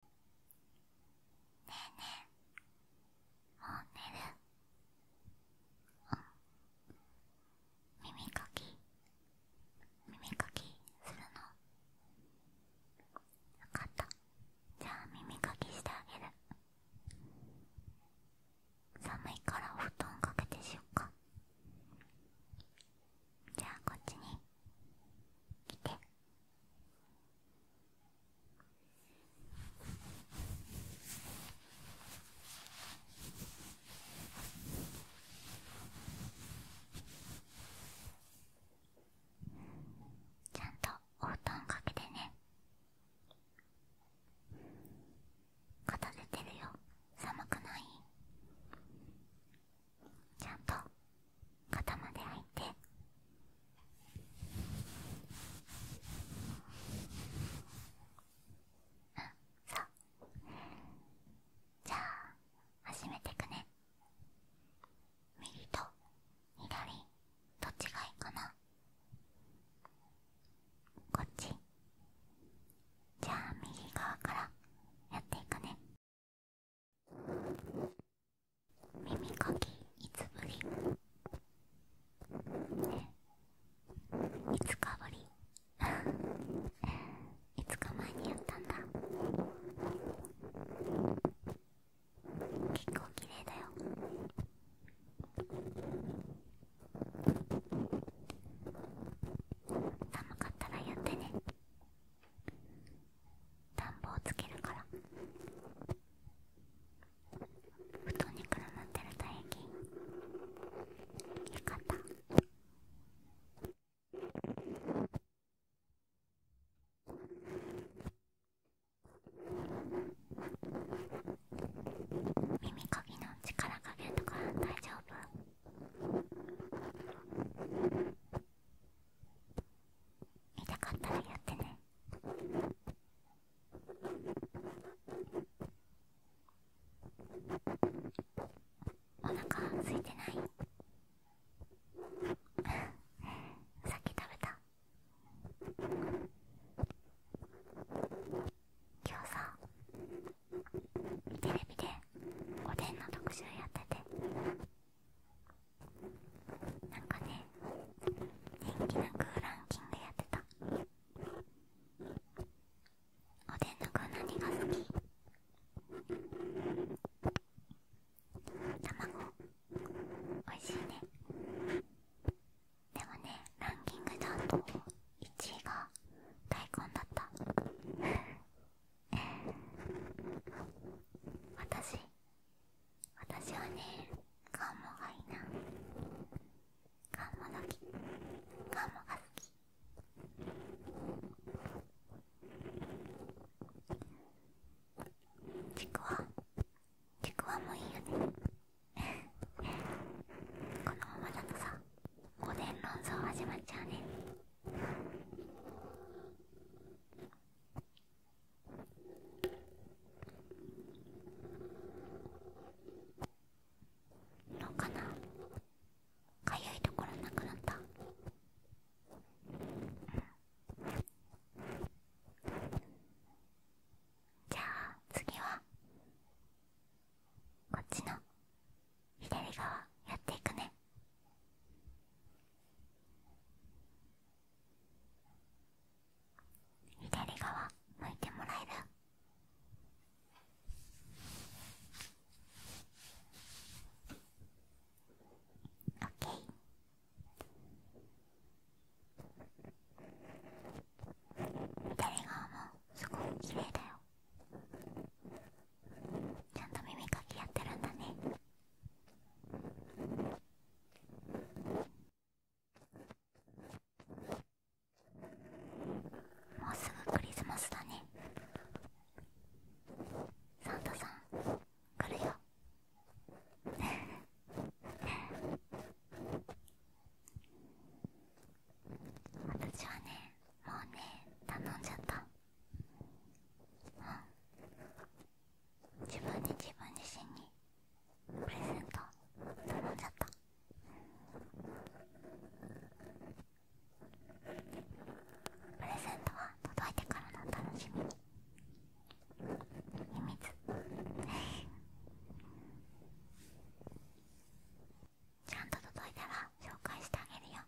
ねえねえもう寝るうん耳かき耳かきするの分かったじゃあ耳かきしてあげる寒いからお布団かけてしよっかじゃあこっちに来てちゃんとお布団かけてね片付てるよ寒くないちゃんと肩まで履いてあ、んそうじゃあ始めてくね右と左どっちがいいかなこっちじゃあ右側からやっていくね耳かきいつぶりえいつかぶり いつか前にやったんだ結構綺麗だよ寒かったらやってね暖房つけるから布団にくるまってる唾液よかった耳かぎの力加減とか大丈夫見たかったらやってねお腹空いてない さっき食べた今日さテレビでおでんの特集やっててなんかね元気なくランキングやってたおでんの具何が好き卵おいしいねでもねランキングだと1位が大根だった 私私はねカンモがいいなカンモ好きカンモが好きちくわちくわもいいよね このままだとさおでん論争始まっちゃうねどうかなかゆいところなくなったじゃあ次はこっちの左側やっていくね左側向いてもらえるオッケー左側もすごく綺麗だよちゃんと耳かきやってるんだねもうすぐクリスマスだねサンタさん来るよ私はねもうね頼んじゃったうん自分で自分自身にプレゼント頼んじゃったプレゼントは届いてからの楽しみに秘密ちゃんと届いたら紹介してあげるよ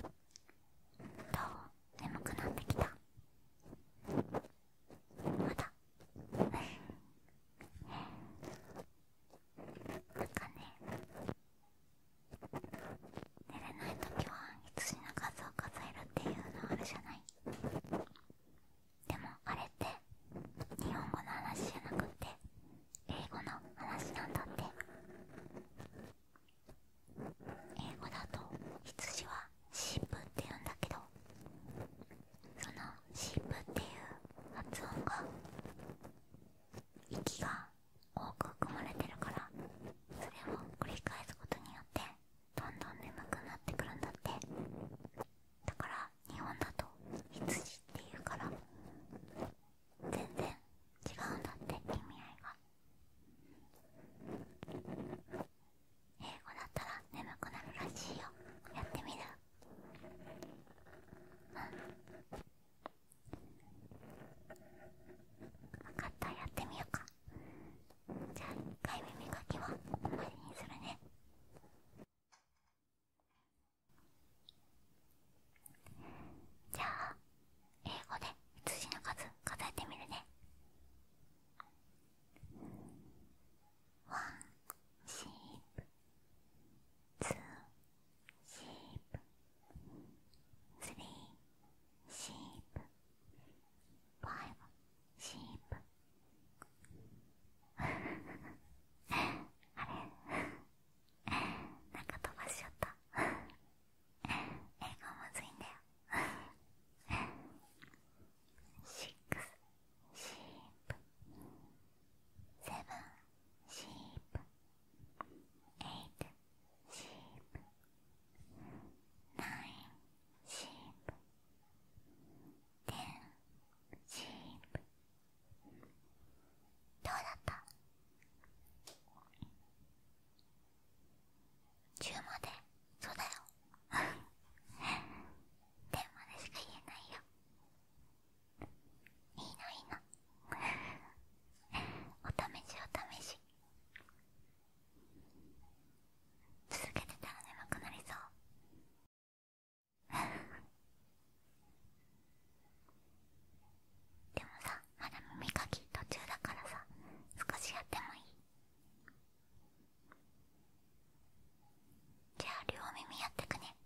どう眠くなってきたまだなんかね寝れない時は羊の数を数えるっていうのあるじゃないでもあれって日本語の話じゃなくって英語の話なんだって英語だと羊はシープって言うんだけどそのシープっていう発音が息が多く含まれてるからそれを繰り返すことによってどんどん眠くなってくるんだってだから日本だと羊っていうから全然違うんだって意味合いが英語だったら眠くなるらしいよやってみるうん分かったやってみようかじゃあ一回耳かきは終わりにするねじゃあ英語で羊の数数えてみるね One sheep, two sheep, three sheep, five sheep あれなんか飛ばしちゃった英語むずいんだよシックスシープセブンシープエイトシープナインシープ1ンシープどうだった10までそうだよ10ま でしか言えないよいいないいなお試しお試し続けてたら眠くなりそうでもさまだ耳かき途中だからさ少しやってもいいじゃあ両耳やってくね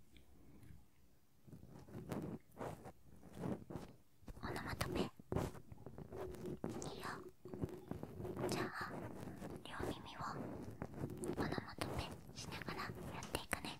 オノマトペいいよじゃあ両耳をオノマトペしながらやっていくね。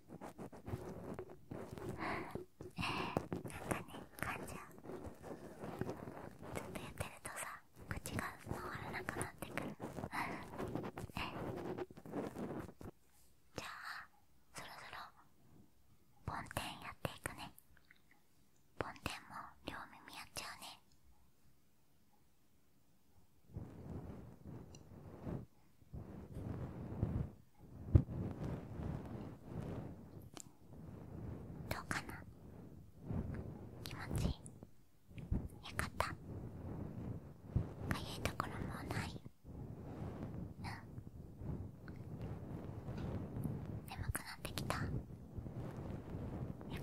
かね噛んじゃうずっとやってるとさ口が回らなくなってくるじゃあそろそろ梵天やっていくね梵天も両耳やっちゃうねどうかな気持ちいいよかったかゆいところもない眠くなってきたよ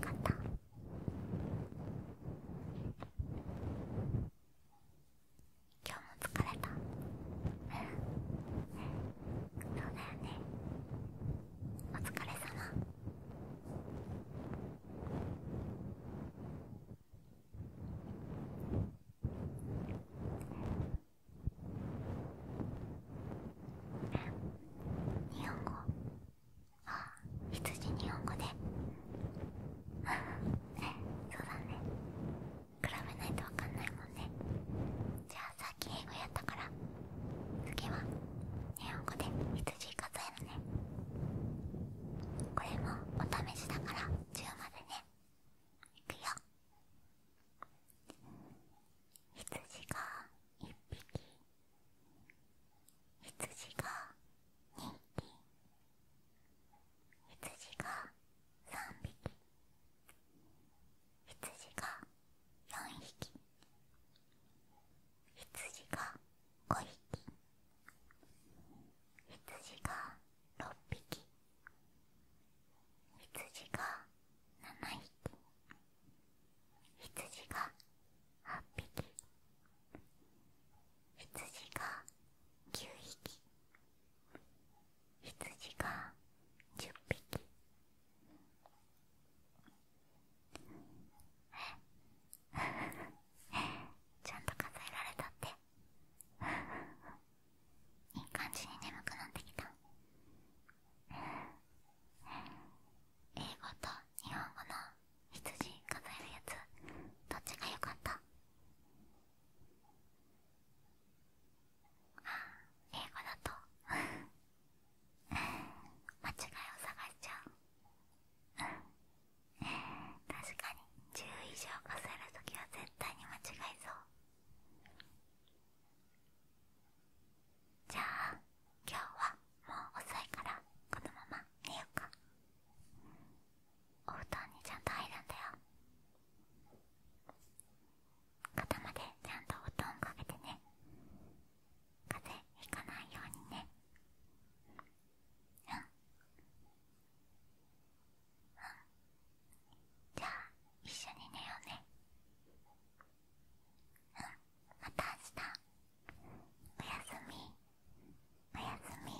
かった今日も疲れたうんそうだよねお疲れ様日本語あ羊日本語でそうだね比べないとわかんないもんねじゃあさっき英語やったから次は日本語で羊数えるねこれもお試しだから10までねいくよ羊が1匹羊が2匹羊が3匹羊が4匹羊が5匹羊が6匹羊が7匹羊が8匹羊が9匹羊が10匹 ちゃんと数えられたっていい感じに眠くなってきた英語と日本語の羊数えるやつどっちが良かったあ、英語だと間違いを探しちゃう確かに10以上数える時は絶対に間違いそうじゃあ今日はもう遅いからこのまま寝ようかお布団にちゃんと入るんだよ肩までちゃんとお布団かけてね風邪ひかないようにねうんうんじゃあ一緒に寝ようねうんまた明日おやすみおやすみ